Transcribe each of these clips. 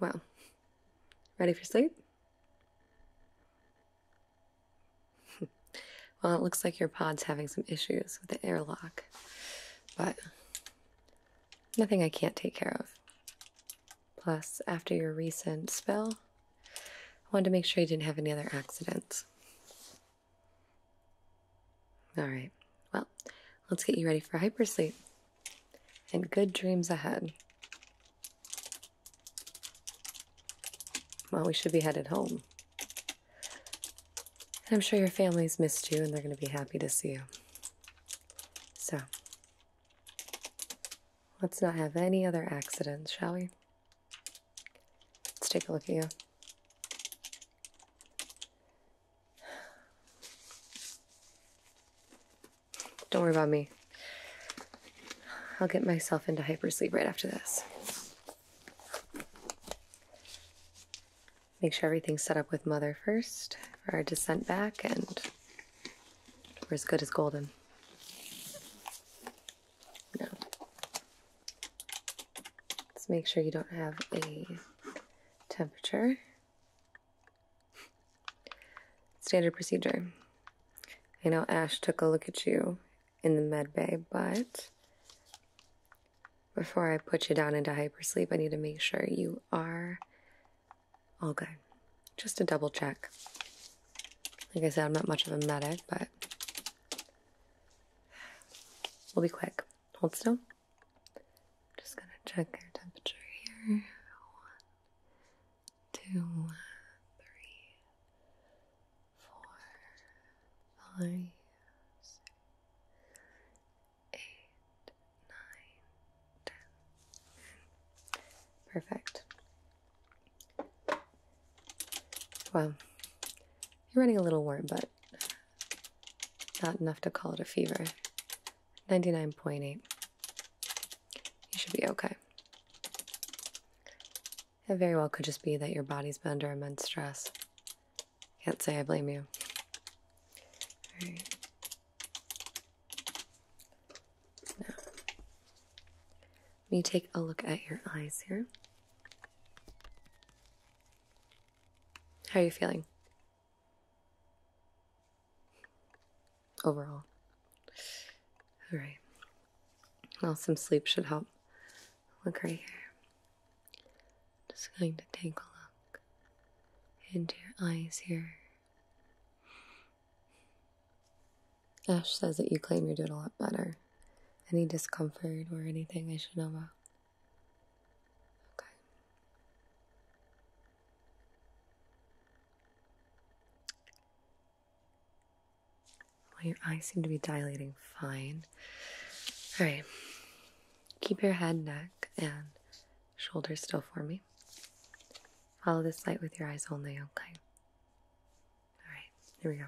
Well, ready for sleep? well, it looks like your pod's having some issues with the airlock but nothing I can't take care of. Plus, after your recent spell, I wanted to make sure you didn't have any other accidents. All right, well, let's get you ready for hypersleep and good dreams ahead. Well, we should be headed home. I'm sure your family's missed you and they're going to be happy to see you. So, let's not have any other accidents, shall we? Let's take a look at you. Don't worry about me. I'll get myself into hypersleep right after this make sure everything's set up with mother first for our descent back and we're as good as golden. No. Let's make sure you don't have a temperature. Standard procedure. I know Ash took a look at you in the med bay, but before I put you down into hypersleep, I need to make sure you are all good. Just a double check. Like I said, I'm not much of a medic, but we'll be quick. Hold still. Just gonna check your temperature here. One, two, three, four, five, six, eight, nine, ten. Perfect. Well, you're running a little warm, but not enough to call it a fever. 99.8. You should be okay. It very well could just be that your body's been under immense stress. Can't say I blame you. All right. Now, let me take a look at your eyes here. How are you feeling? Overall. All right. Well, some sleep should help. Look right here just going to take a look into your eyes here. Ash says that you claim you're doing a lot better. Any discomfort or anything I should know about? Okay. Well, your eyes seem to be dilating fine. All right. Keep your head, neck, and shoulders still for me. Follow this light with your eyes only, okay? All right, here we go.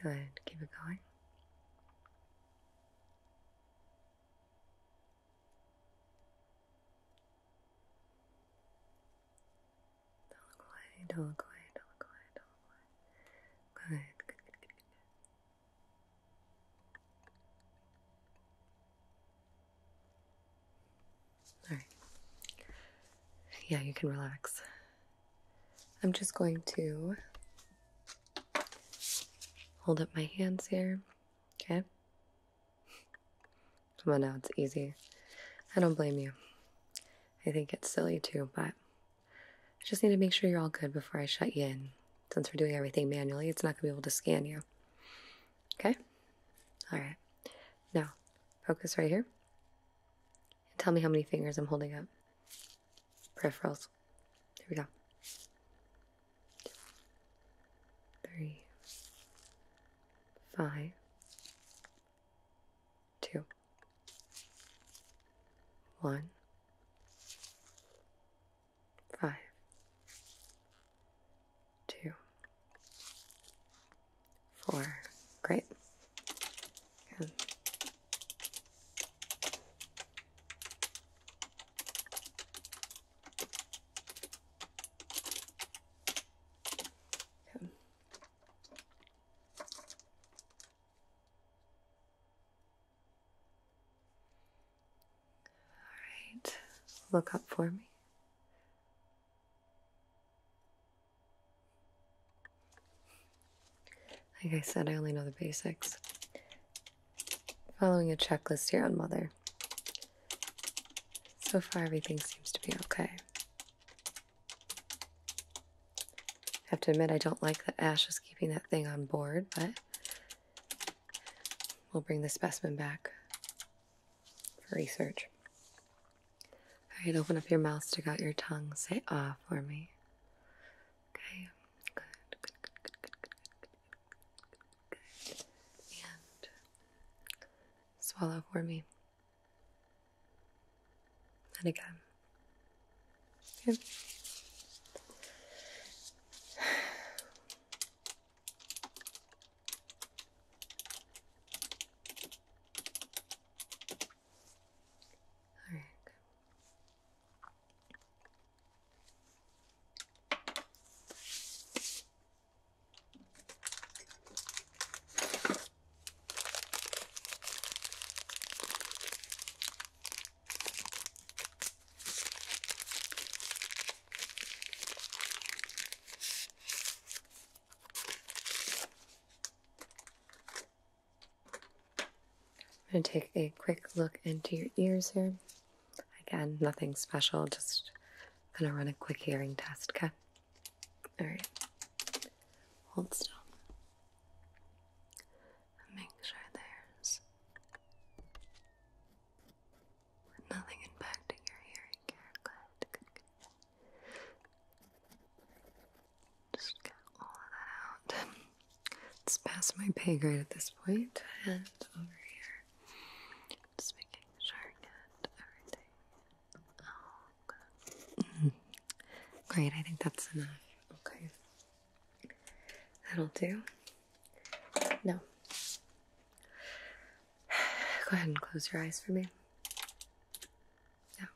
Good, keep it going. Don't look away, don't look away, don't look away, don't look away. Good, Alright. Yeah, you can relax. I'm just going to hold up my hands here, okay? Come on now, it's easy. I don't blame you. I think it's silly too, but I just need to make sure you're all good before I shut you in. Since we're doing everything manually, it's not going to be able to scan you. Okay? All right. Now, focus right here. And tell me how many fingers I'm holding up. Peripherals. Here we go. Three, five, two, one, five, two, four. Great. Good. All right, look up for me. Like I said, I only know the basics. Following a checklist here on Mother. So far, everything seems to be okay. I have to admit, I don't like that Ash is keeping that thing on board, but we'll bring the specimen back for research. All right, open up your mouth, stick out your tongue, say ah for me. Okay, good, good, good, good, good, good, good, good. And swallow for me. And again. Good. All right. I'm going to take a quick look into your ears here. Again, nothing special, just gonna run a quick hearing test, okay? Alright. Hold still. make sure there's nothing impacting your hearing Just get all of that out. It's past my pay grade at this point, point. over here. Just making sure I Oh, Great, I think that's enough. Okay. That'll do. No. Go ahead and close your eyes for me. Yeah.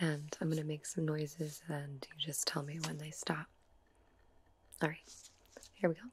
And I'm gonna make some noises and you just tell me when they stop. Alright, here we go.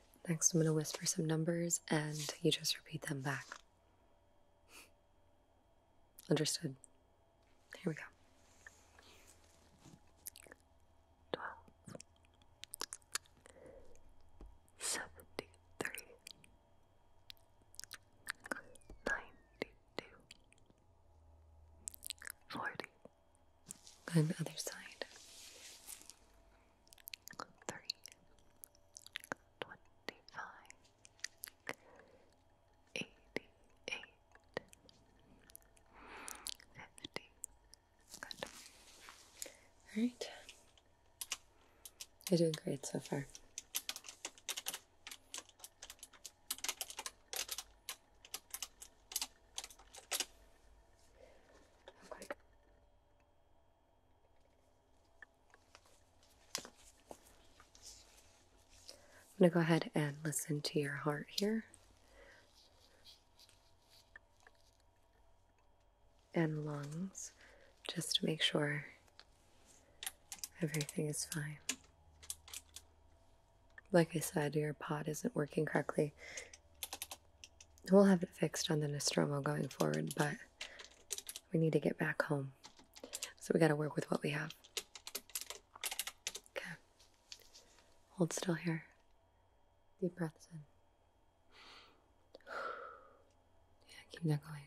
Next, I'm going to whisper some numbers and you just repeat them back. Understood. Here we go. 12 73 92 other side three, twenty-five, eighty-eight, fifty. Good. All right. You're doing great so far. I'm going to go ahead and listen to your heart here. And lungs, just to make sure everything is fine. Like I said, your pod isn't working correctly. We'll have it fixed on the Nostromo going forward, but we need to get back home. So we got to work with what we have. Okay. Hold still here. Deep breaths in. Yeah, keep that going.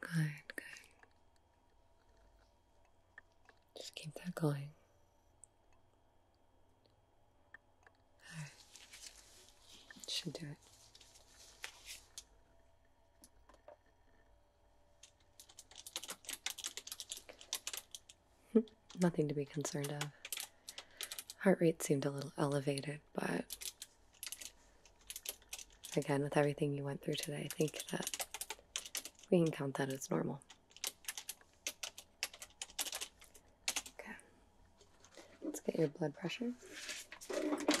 Good, good. Just keep that going. Should do it. nothing to be concerned of. Heart rate seemed a little elevated, but again, with everything you went through today, I think that we can count that as normal. Okay, let's get your blood pressure. All right.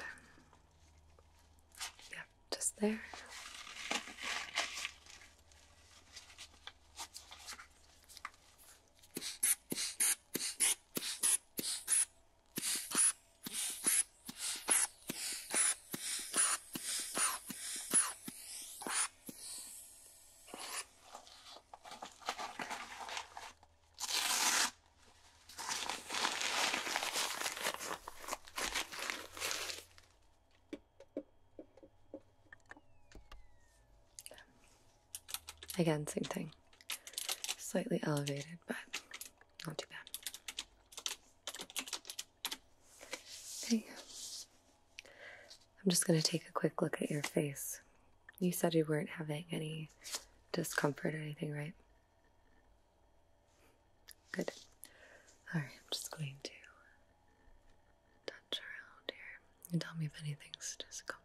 Um, yeah, just there. Again, same thing. Slightly elevated, but not too bad. Okay. I'm just going to take a quick look at your face. You said you weren't having any discomfort or anything, right? Good. Alright, I'm just going to touch around here. and tell me if anything's discomfort.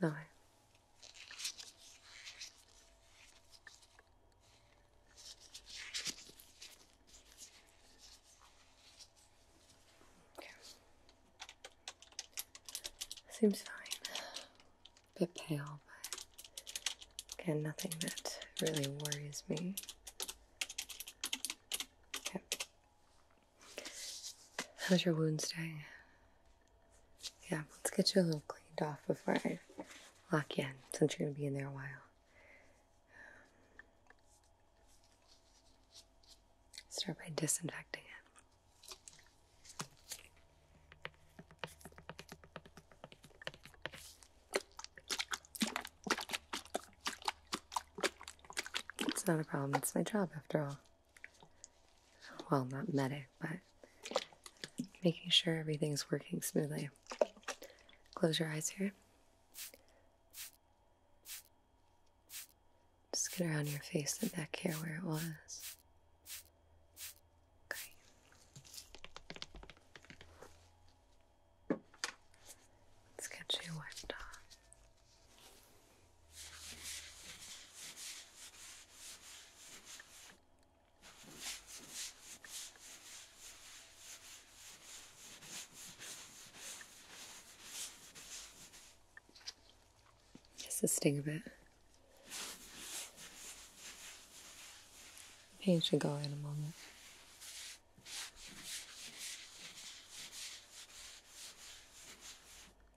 No. Okay. Seems fine. A bit pale, but again, nothing that really worries me. Okay. How's your wound staying? Yeah, let's get you a little cleaned off before I lock you in, since you're gonna be in there a while. Start by disinfecting it. It's not a problem, it's my job after all well, not medic, but making sure everything's working smoothly. Close your eyes here. Just get around your face and back here where it was. Okay. Let's get you wiped off. Just the sting a bit. Pain should go in a moment.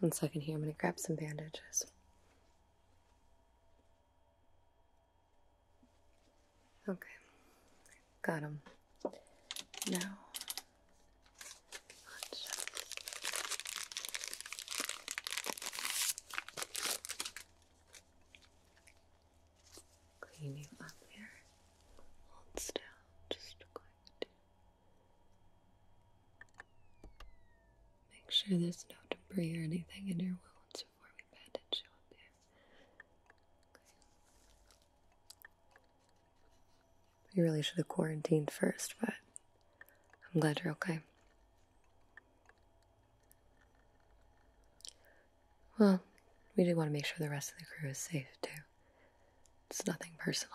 One second here, I'm going to grab some bandages. Okay, got them. Now, clean you up here. Hold still, just going to make sure there's no debris or anything in your wounds before we bandage you up here. Okay. really should have quarantined first, but I'm glad you're okay. Well, we do want to make sure the rest of the crew is safe, too. It's nothing personal.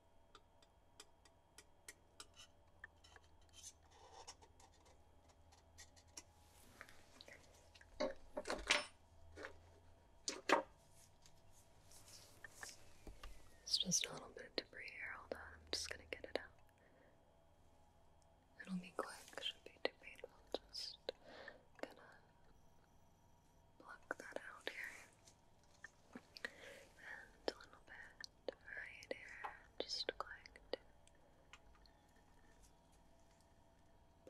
It's just a little bit of debris here. Hold on, I'm just gonna get it out. It'll be quick, should be too painful. Just gonna pluck that out here. And a little bit right here. Just going to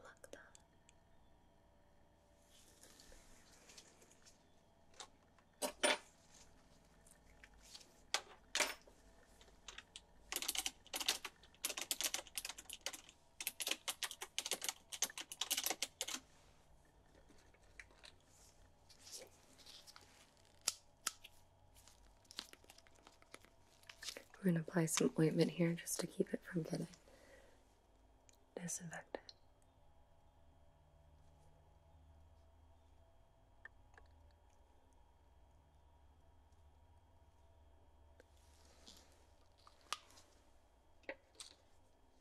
pluck that. We're going to apply some ointment here just to keep it from getting disinfected.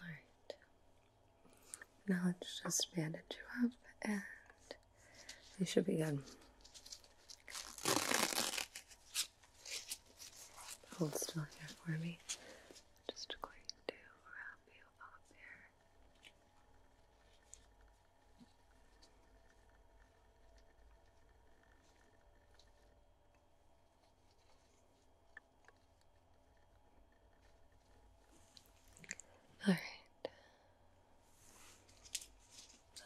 Alright, now let's just bandage you up and you should be good. Hold still here for me. Just going to wrap you up here. All right.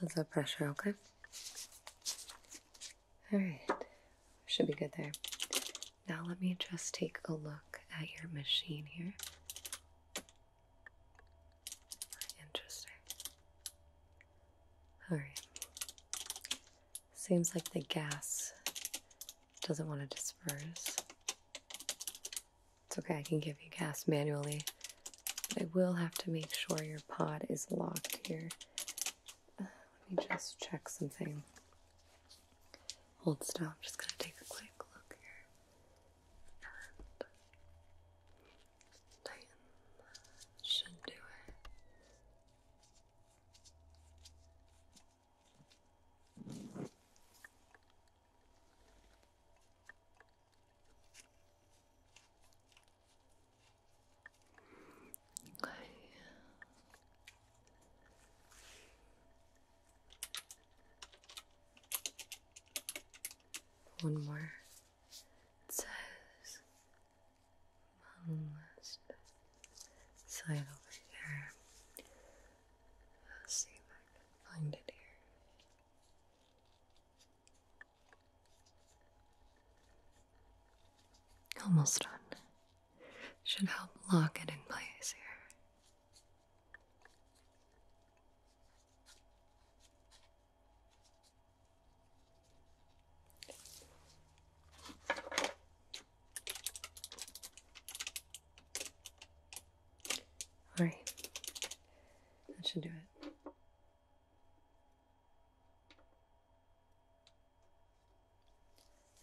That's the pressure, okay? All right. Should be good there. Now let me just take a look at your machine here. Interesting. Alright. Seems like the gas doesn't want to disperse. It's okay, I can give you gas manually. But I will have to make sure your pod is locked here. Uh, let me just check something. Hold still, I'm just gonna take a quick look here and tighten should do it. Okay. One more says almost side over here. see if I can find it here. Almost done. Should help lock it in place here. All right, that should do it.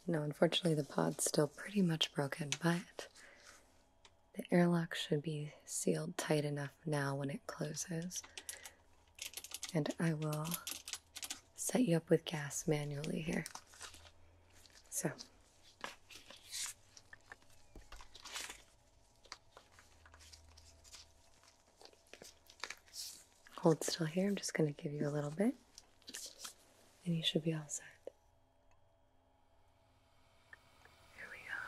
No, unfortunately, the pod's still pretty much broken, but the airlock should be sealed tight enough now when it closes. And I will set you up with gas manually here. So, hold still here. I'm just going to give you a little bit, and you should be all set. Here we go.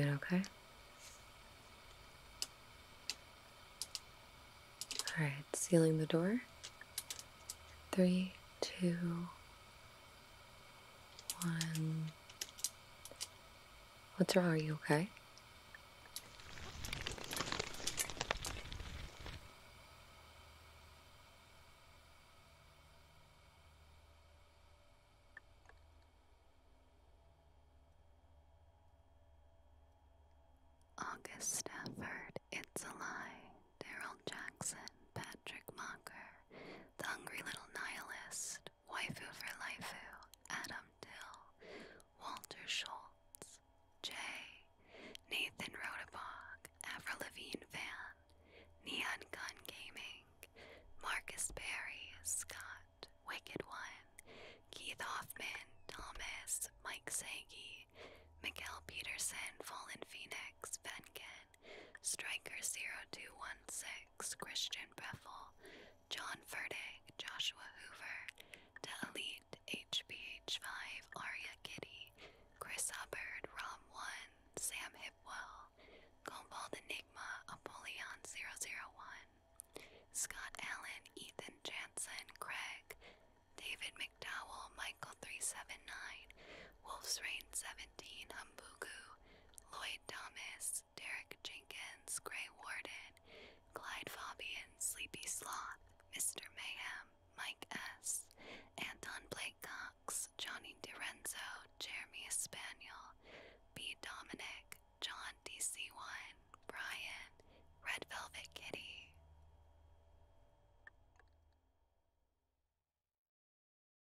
Doing okay? All right, sealing the door. Three, two, one. What's wrong? Are you okay? August Stafford, It's a Lie, Daryl Jackson, Patrick Mocker the hungry little nihilist, waifu for laifu, Adam Dill, Walter Schultz, Jay, Nathan Rodebog, Avril Lavigne Fan, Neon Gun Gaming, Marcus Berry, Scott, Wicked One, Keith Hoffman, Thomas, Mike Sagi, Miguel Peterson, Fallen Phoenix, Venkin, Striker0216, Christian Breffel, John Ferdig, Joshua Hoover, to Elite, HBH5, Aria Kitty, Chris Hubbard, Rob1, Sam Hipwell, Cobalt Enigma, Apollyon001, Scott Allen, Ethan Jansen, Craig, David McDowell, Michael379, Wolf's Rain 17, Humbugu, Lloyd Thomas, Derek Jenkins, Gray Warden, Clyde Fabian, Sleepy Sloth, Mr. Mayhem, Mike S., Anton Blake Cox, Johnny DiRenzo, Jeremy Spaniel, B. Dominic, John DC1, Brian, Red Velvet Kitty.